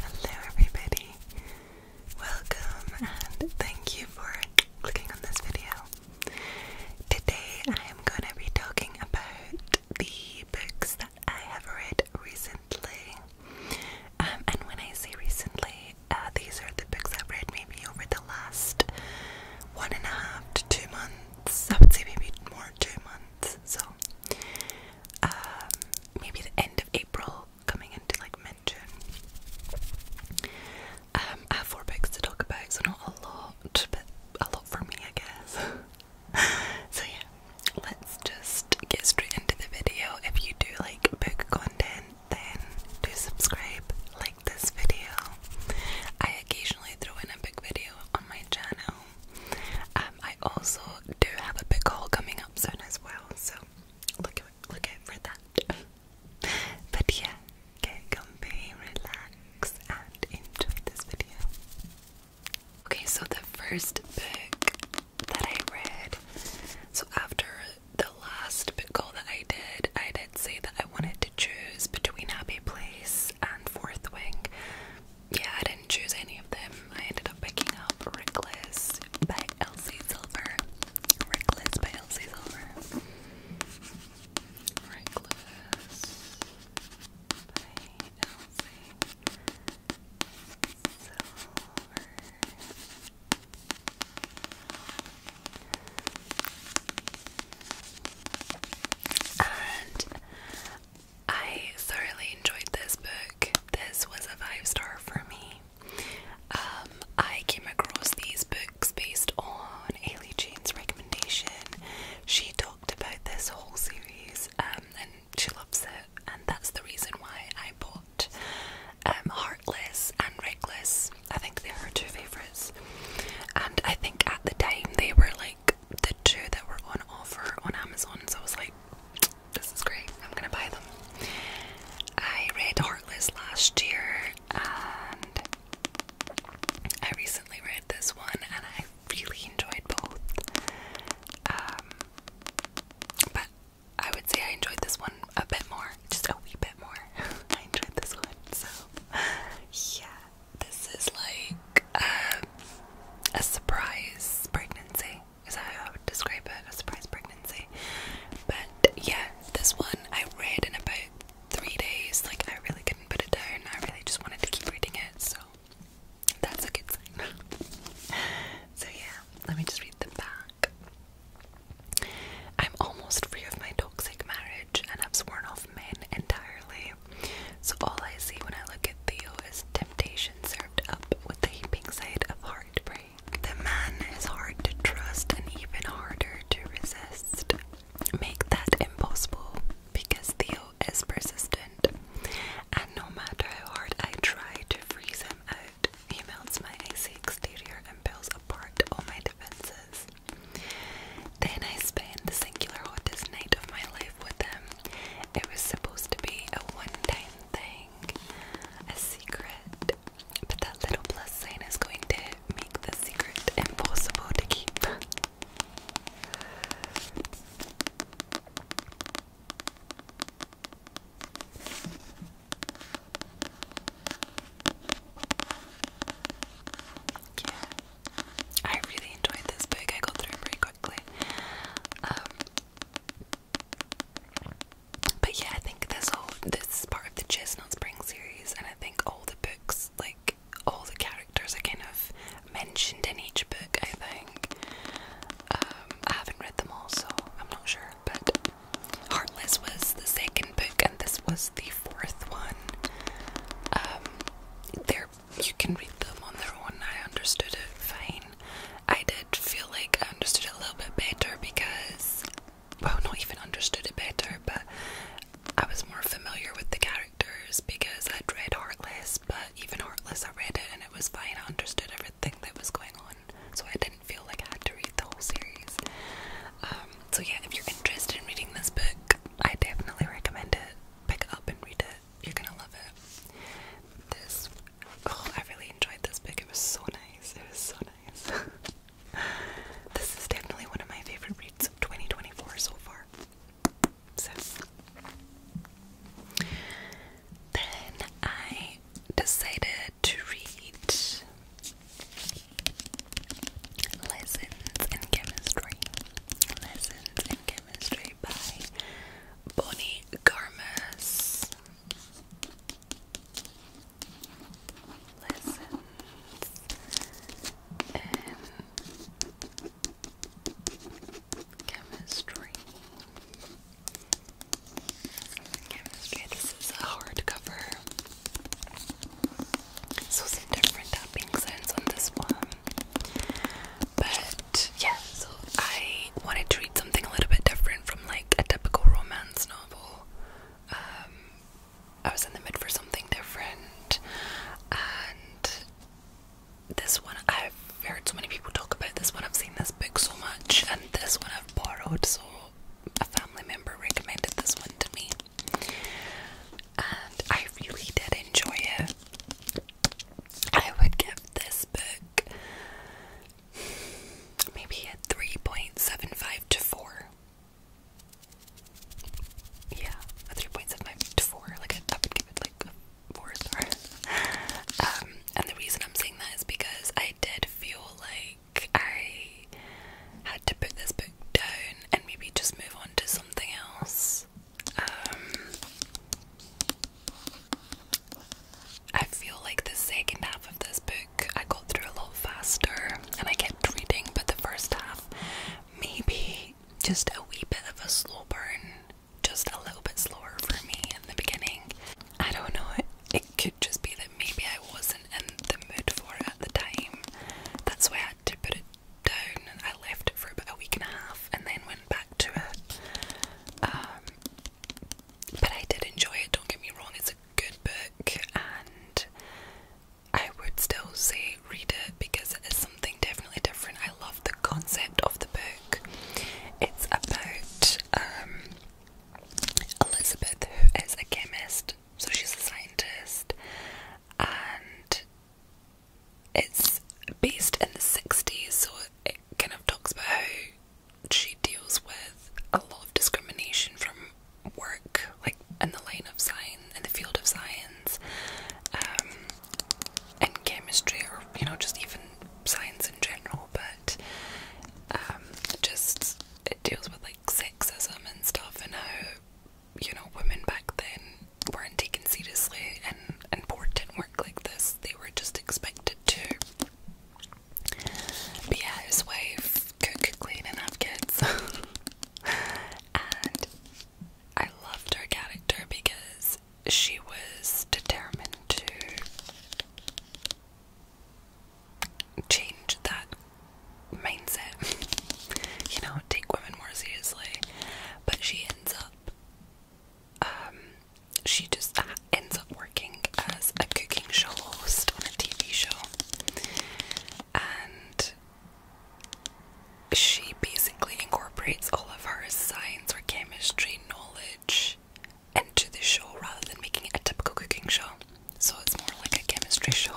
Hello, everybody. Welcome and thank you for clicking on this video. Today, I am going to be talking about the books that I have read recently. Um, and when I say recently, uh, these are the books I've read maybe over the last one and a half to two months. I would say maybe more two months. So, um, maybe the end of April, coming into like mid June. Um, I have four books to talk about, so not a lot, but a lot for me, I guess. so, yeah, let's just get straight into the video. If you do like book content, then do subscribe, like this video. I occasionally throw in a book video on my channel. Um, I also do have a book haul coming up. Nelson as well. So look look out for but yeah, get comfy, relax, and enjoy this video. Okay, so the first book that I read. So after the last book haul that I did, I did say that I wanted to choose between Happy Place and Fourth Wing. Yeah, I didn't choose any of them. I ended up picking up Reckless by Elsie Silver. Reckless by Elsie Silver. Reckless by Elsie Silver. And I thoroughly enjoyed this book this was a five star for me. Um, I came across these books based on Ailey Jane's recommendation. She talked about this whole series um, and she loves it, and that's the reason why I bought um, Heartless and Reckless. I think they're her two favourites. And I think at the time they were like the two that were on offer on Amazon, so I was like, this is great. I'm gonna buy them. I read Heartless last year and I recently read this one and I really enjoyed both. Um, but I would say I enjoyed this one a bit more, just a wee bit more. I enjoyed this one, so yeah. This is like um, a surprise pregnancy is how I would describe it, a surprise pregnancy. But yeah, this one I read in about three days. Like I really couldn't put it down. I really just wanted to keep reading it, so that's a good sign. so yeah, let me just read them back. I'm almost free of my toxic marriage and i have sworn off men entirely. So all I see when I look at Theo is temptation served up with the heaping side of heartbreak. The man is hard to trust and even harder to resist. Make that impossible because Theo is persistent, and no matter how hard I try to freeze him out, he melts my icy exterior and peels apart all my defenses. Then I spend the singular hottest night of my life with him. It was supposed to be a one time thing, a secret, but that little plus sign is going to make the secret impossible to keep. yeah. I really enjoyed this book. I got through it pretty quickly. Um, but yeah, I think this all this is part of the Chestnut Spring series, and I think all the books, like all the characters, are kind of mentioned in each book. I think um, I haven't read them all, so I'm not sure. But Heartless was the second book, and this was the fourth one. Um, there you can read them on their own. I understood it fine. I did feel like I understood it a little bit better because, well, not even understood it better, but I was more familiar with the characters because I'd read Heartless, but even Heartless, I read it and it was fine. I understood everything that was going on, so I didn't feel like I had to read the whole series. Um, so, yeah, if you're interested in reading this book, I definitely recommend it. Pick it up and read it. You're gonna love it. This Oh, I really enjoyed this book. It was so nice. It was so nice. this is definitely one of my favorite reads of 2024 so far. So. Then I decided to read Lessons in Chemistry. Lessons in Chemistry by Bonnie Garmus lessons in chemistry. Chemistry, this is a hardcover. So some different tapping sounds on this one. But yeah, so I I wanted to read something a little bit different from like a typical romance novel. Um, I was in the mood for something different, and this one I've heard so many people talk about. This one I've seen this book so much, and this one I've borrowed. So a family member recommended this one to me, and I really did enjoy it. I would give this book maybe at 3.75 to 4. Yeah, a 3.75 to 4. Like, I would give it like a 4 star. Um, and the reason I'm saying that is because I did feel like I had to put this book down and maybe just move on to something else. Um, I feel like the second half of this book I got through a lot faster and I kept reading, but the first half maybe just a wee bit of a slow burn, just a little bit slower for me in the beginning. I don't know, it, could just be that maybe I wasn't in the mood for it at the time. That's why I had to put it down and I left it for about a week and a half and then went back to it. Um, but I did enjoy it, don't get me wrong, it's a good book, and I would still say read it because it is something definitely different. I love the concept of the book. It's about um, Elizabeth, who is a chemist, so she's a scientist, and it's based in the 60s, so it kind of talks about how she deals with a lot of discrimination from work, like in the line of science, in the field of science, um, chemistry, or you know, just even science in general. But um, just it deals with like sexism and stuff, and how you know women back then weren't taken seriously and important work like this. They were just expected to but yeah, his wife could, clean and have kids. and I loved her character because she was determined to change that mindset. you know, take women more seriously. But she ends up um, she just uh, ends up working as a cooking show host on a TV show. And she basically incorporates all of her science or chemistry knowledge into the show rather than making a typical cooking show. So it's more like a chemistry show.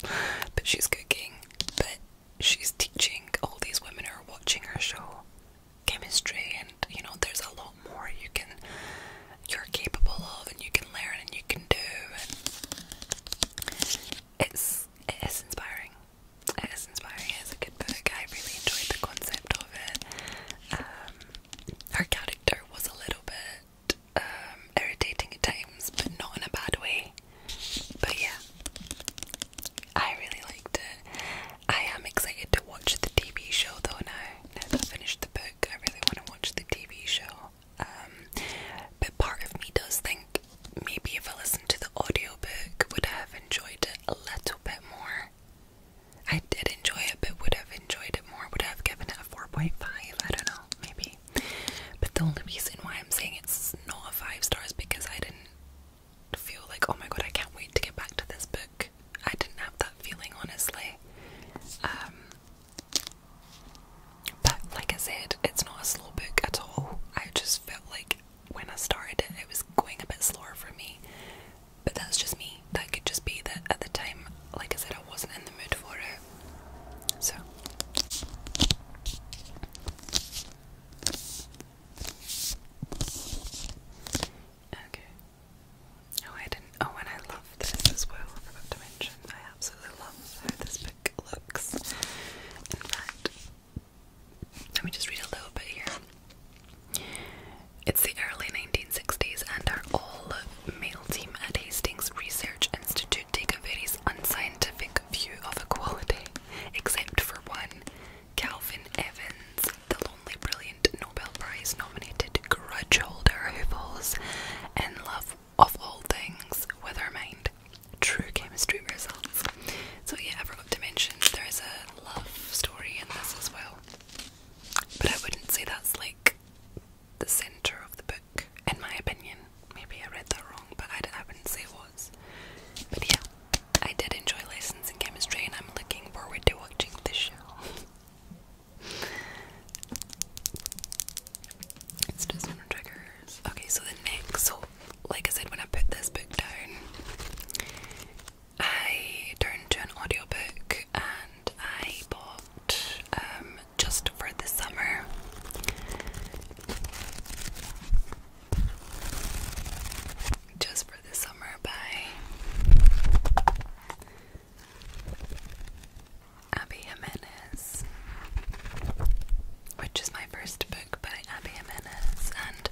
But she's cooking, but she's teaching all these women who are watching her show chemistry, and you know, there's a lot more you can you're capable of and you can learn and you can do and it's it is inspiring. It is inspiring. It's a good book. I really enjoyed the concept of it. Um, her character was a little bit um, irritating at times, but not in a bad way. But yeah, I really liked it. I am excited to watch the TV show though now never finished the book. I really want to watch the TV show. Um, but part of me does think maybe if I listened to the audiobook, would have enjoyed it a little bit more? I did enjoy it, but would have enjoyed it more? Would have given it a 4.5? I don't know, maybe. But the only reason why I'm saying it's not a 5 stars because I didn't feel like, oh my god, I can't wait to get back to this book. I didn't have that feeling honestly. Um, but like I said, it's not a slow book at all. I just felt like when I started it, it was going a bit slower for me. But that's just me. That could just be that at the time, like I said, I wasn't in the mood for it. So. Okay. Oh, I didn't. Oh, and I love this as well. I forgot to mention. I absolutely love how this book looks. In fact, let me just read a little bit here. It's the early 1960s, and our all male team at Hastings Research Institute take a very unscientific view of equality, except for one Calvin Evans, the lonely, brilliant Nobel Prize nominated grudge holder who falls in love of all things with her mind. True chemistry results. So yeah, I forgot to mention there is a love story in this as well. But I wouldn't say that's like the centre of the book, in my opinion. Maybe I read that wrong, but I, I wouldn't say it was. But yeah, I did enjoy lessons in chemistry and I'm looking forward to watching the show. It's just no triggers. Okay, so the next, so like I said, when I put this book down, I turned to an audio book, and I bought um, just for the summer. Just for the summer by Abby Jimenez, which is my first book by Abby Jimenez, and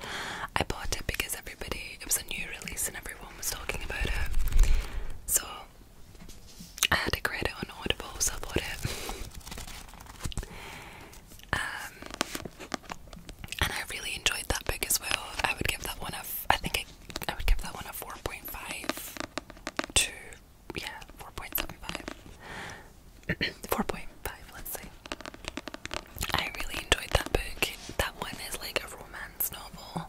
I bought it because everybody, it was a new release and everyone was talking about it. So I had to a it on Audible, so I bought it. Um, and I really enjoyed that book as well. I would give that one a, I think I, I would give that one a 4.5 to yeah, four point four point five, let's say. I really enjoyed that book. That one is like a romance novel.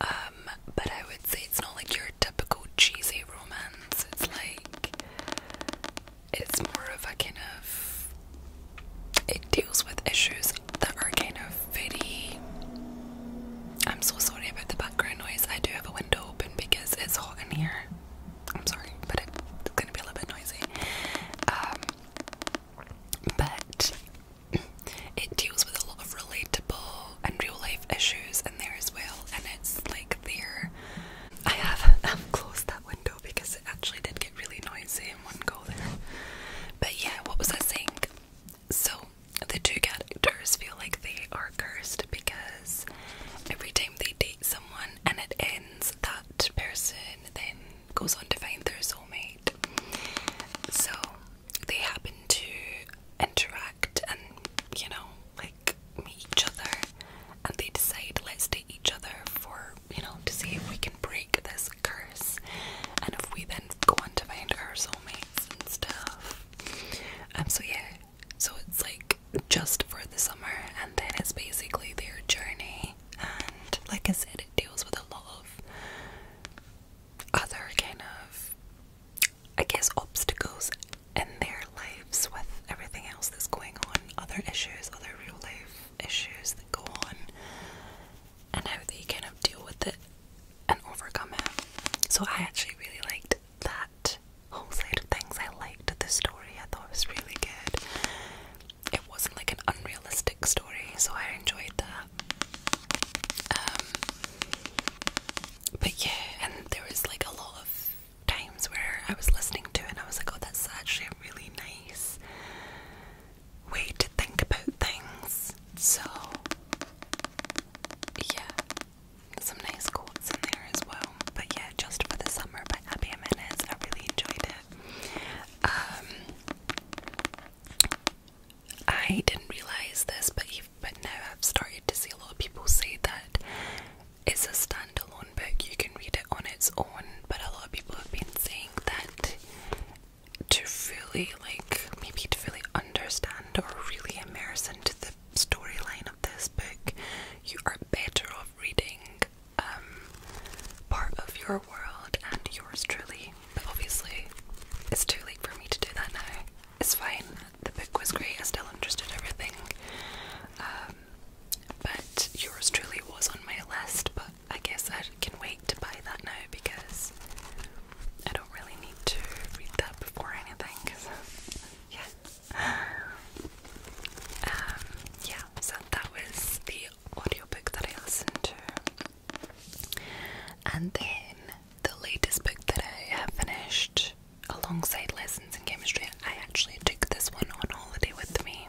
Um, but I would say it's not like your typical cheesy romance. It's like it's more of a kind of it deals with issues that are kind of very. I'm so sorry about the background noise. I do have a window open because it's hot in here. I'm sorry, but it's gonna be a little bit noisy. Um, but it deals with a lot of relatable and real life issues in there as well, and it's like there. I have I've closed that window because it actually did get really noisy in one go there. But yeah, what was I saying? So the two characters feel like they are cursed because every time they date someone and it ends, that person then goes on to find their soulmate. So they happen to interact and, you know, like meet each other and they decide, let's date each other for, you know, to see if we can break this curse. And if we then go on to find our soulmate, stuff. Um, so yeah, so it's like just for the summer, and then it's basically their journey. And like I said, it deals with a lot of other kind of, I guess, obstacles in their lives with everything else that's going on, other issues, other real life issues that go on, and how they kind of deal with it and overcome it. So I actually really liked that whole side of things. I liked the story. I thought it was really good. It wasn't like an unrealistic story, so I enjoyed that. Um, but yeah, and there was like a lot of times where I was listening to it and I was like, oh, that's actually a really nice way to think about things. So yeah, some nice quotes in there as well. But yeah, Just for the Summer by Abby Jimenez. I really enjoyed it. Um, I didn't realize this, but but now I've started to see a lot of people say that it's a standalone book. You can read it on its own, but a lot of people have been saying that to really like maybe to really understand or really immerse into the storyline of this book, you are better off reading um, part of your world and yours truly. But obviously, it's too late for me to do that now. It's fine. The book was great. I still understood everything. Um, but yours truly was on my list. But I guess I can wait to buy that now because I don't really need to read that before anything because, yeah. Um, yeah, so that was the audiobook that I listened to. And then the latest book that I have finished alongside Lessons in Chemistry, I actually took this one on holiday with me.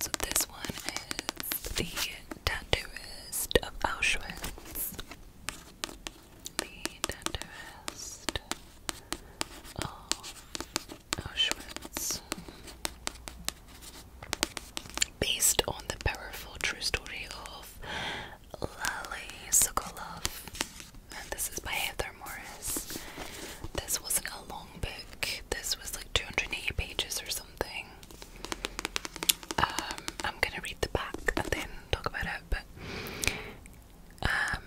So this one is The Tenderest of Auschwitz the tenderest of Auschwitz. Based on the powerful true story of Lali Sokolov, and this is by Heather Morris. This wasn't a long book, this was like 280 pages or something. Um, I'm gonna read the back and then talk about it, but um,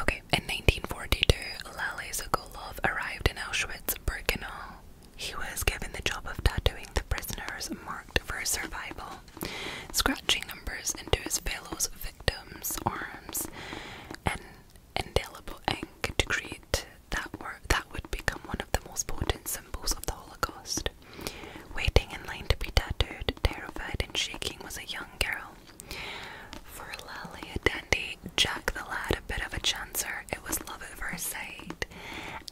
okay. In 1942, Lale Sokolov arrived in Auschwitz-Birkenau. He was given the job of tattooing the prisoners marked for survival, scratching numbers into his fellows' victims' arms, and indelible ink to create that were that would become one of the most potent symbols of the Holocaust. Waiting in line to be tattooed, terrified and shaking, was a young girl. For Lally Dandy, Jack the lad, a bit of a chancer, it was love at first sight,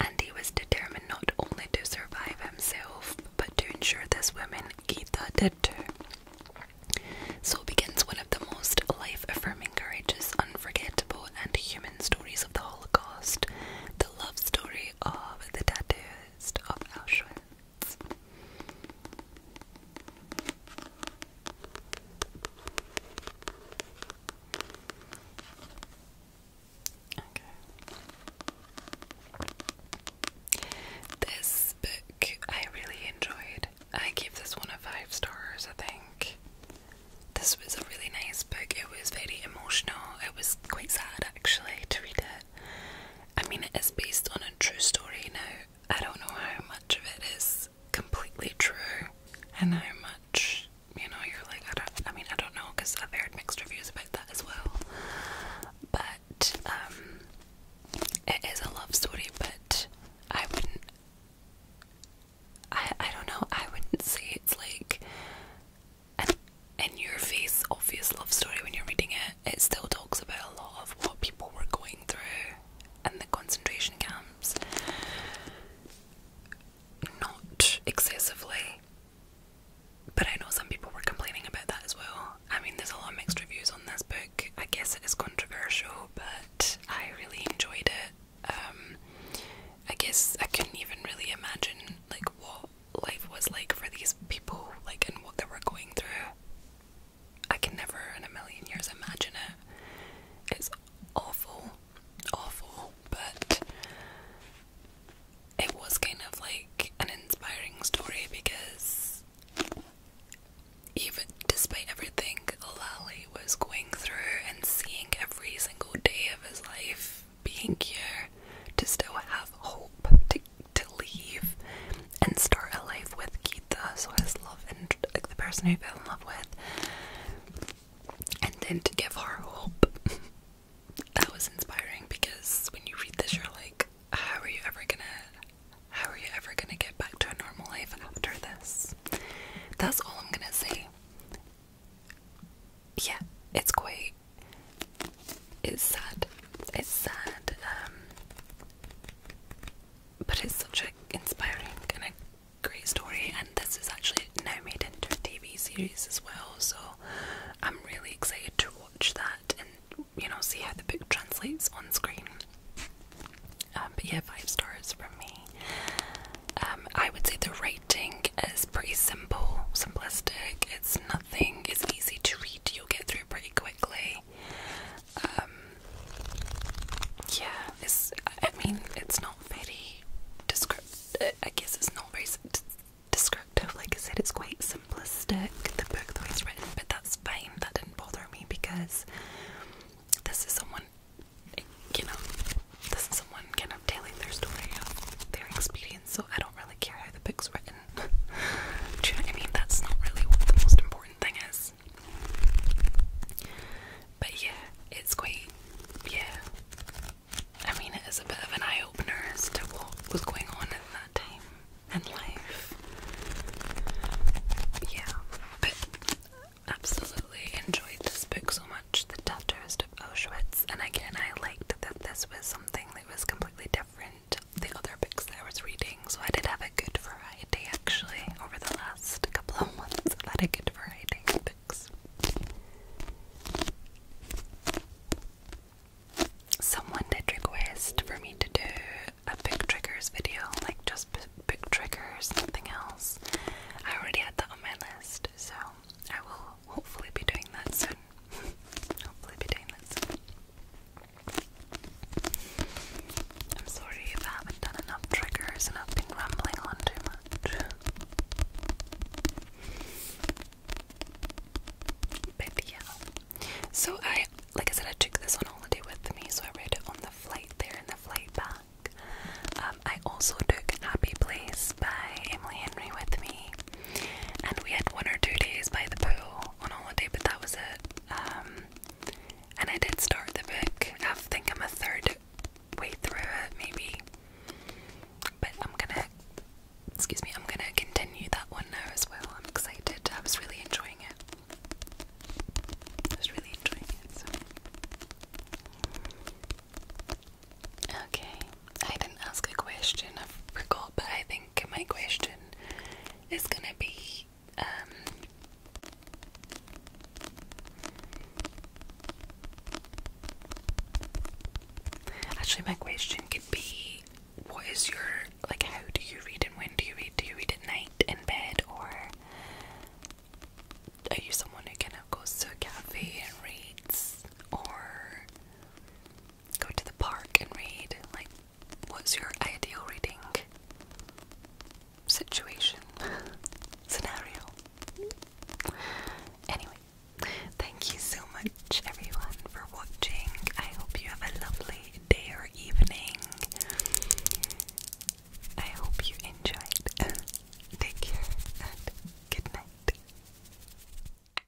and he was determined not only to survive himself, but to ensure this woman, Geeta, did too. So begins one of the most life affirming, courageous, unforgettable, and human stories of the Holocaust, the love story of the tattooist of Auschwitz. Okay. This book I really enjoyed. I gave this one a five stars, I think. This was a really nice book. It was very emotional. It was quite sad actually to read it. I mean, it is based on a true story now. I don't know how much of it is completely true and how much, you know, you're like, I don't, I mean, I don't know because I've heard mixed reviews about that as well. But, um, it is a love story, but I wouldn't, I, I don't know, I wouldn't say it's like and in your face obvious love story when you're reading it, it still talks about a lot of what people were going through in the concentration camps. Not excessively, but I know some people were complaining about that as well. I mean, there's a lot of mixed reviews on this book. I guess it is controversial, but I really enjoyed it. Um, I guess I couldn't even really imagine like what life was like for these people, like, and what they were going through. I can never in a million years imagine it. It's awful, awful, but it was kind of like an inspiring story because even despite everything Lally was going through and seeing every single day of his life, being here to still have hope to to leave and start a life with Keita, so his love and like the person who fell in love with, and then to give her hope. that was inspiring because when you read this, you're like, how are you ever gonna? How are you ever gonna get back to a normal life after this? That's all I'm gonna say. Yeah, it's great it's sad. It's sad, um, but it's such an inspiring and a great story. And this is actually now made into a TV series as well, so I'm really excited to watch that and you know see how the book translates on screen. Um, but yeah, five stars from me. Um, I would say the writing is pretty simple, simplistic. It's not. Thing is easy to read, you'll get through pretty quickly. Um, yeah, it's, I mean, it's not very descriptive, I guess it's not very descriptive, like I said, it's quite simplistic, the book that was written, but that's fine, that didn't bother me because this is someone, you know, this is someone kind of telling their story of their experience so I don't really care how the book's written. I mean? That's not really what the most important thing is. But yeah, it's quite, yeah. I mean, it is a bit of an eye opener as to what was going on at that time in life. Yeah, but absolutely enjoyed this book so much. The tattooist Auschwitz, and again, I liked that this was something that was completely different. The other books that I was reading, so I did have a good variety actually over the last couple of months. I had a good variety of books. Someone did request for me to do a book triggers video, like just book triggers, nothing else. I already had that on my list, so I will hopefully be doing that soon. Hopefully, be I'm sorry if I haven't done enough triggers and I've been rambling on too much. But yeah. So I like I said I took this on holiday with me, so I read it on the flight there and the flight back. Um, I also took Happy Place by Emily Henry with me and we had one or two days by the pool on holiday, but that was it. Um, and I did start the book. I think I'm a third way through it, maybe. But I'm gonna, excuse me, I'm gonna continue that one now as well. I'm excited. I was really enjoying it. I was really enjoying it. So. Okay, I didn't ask a question. of forgot, but I think my question is gonna be um, actually my question could be what is your like how do you read and when do you read do you read at night in bed or are you someone who kind of goes to a cafe and reads or go to the park and read. Like, what's your ideal reading situation? Scenario. Anyway, thank you so much, everyone, for watching. I hope you have a lovely day or evening. I hope you enjoyed. Take care and good night.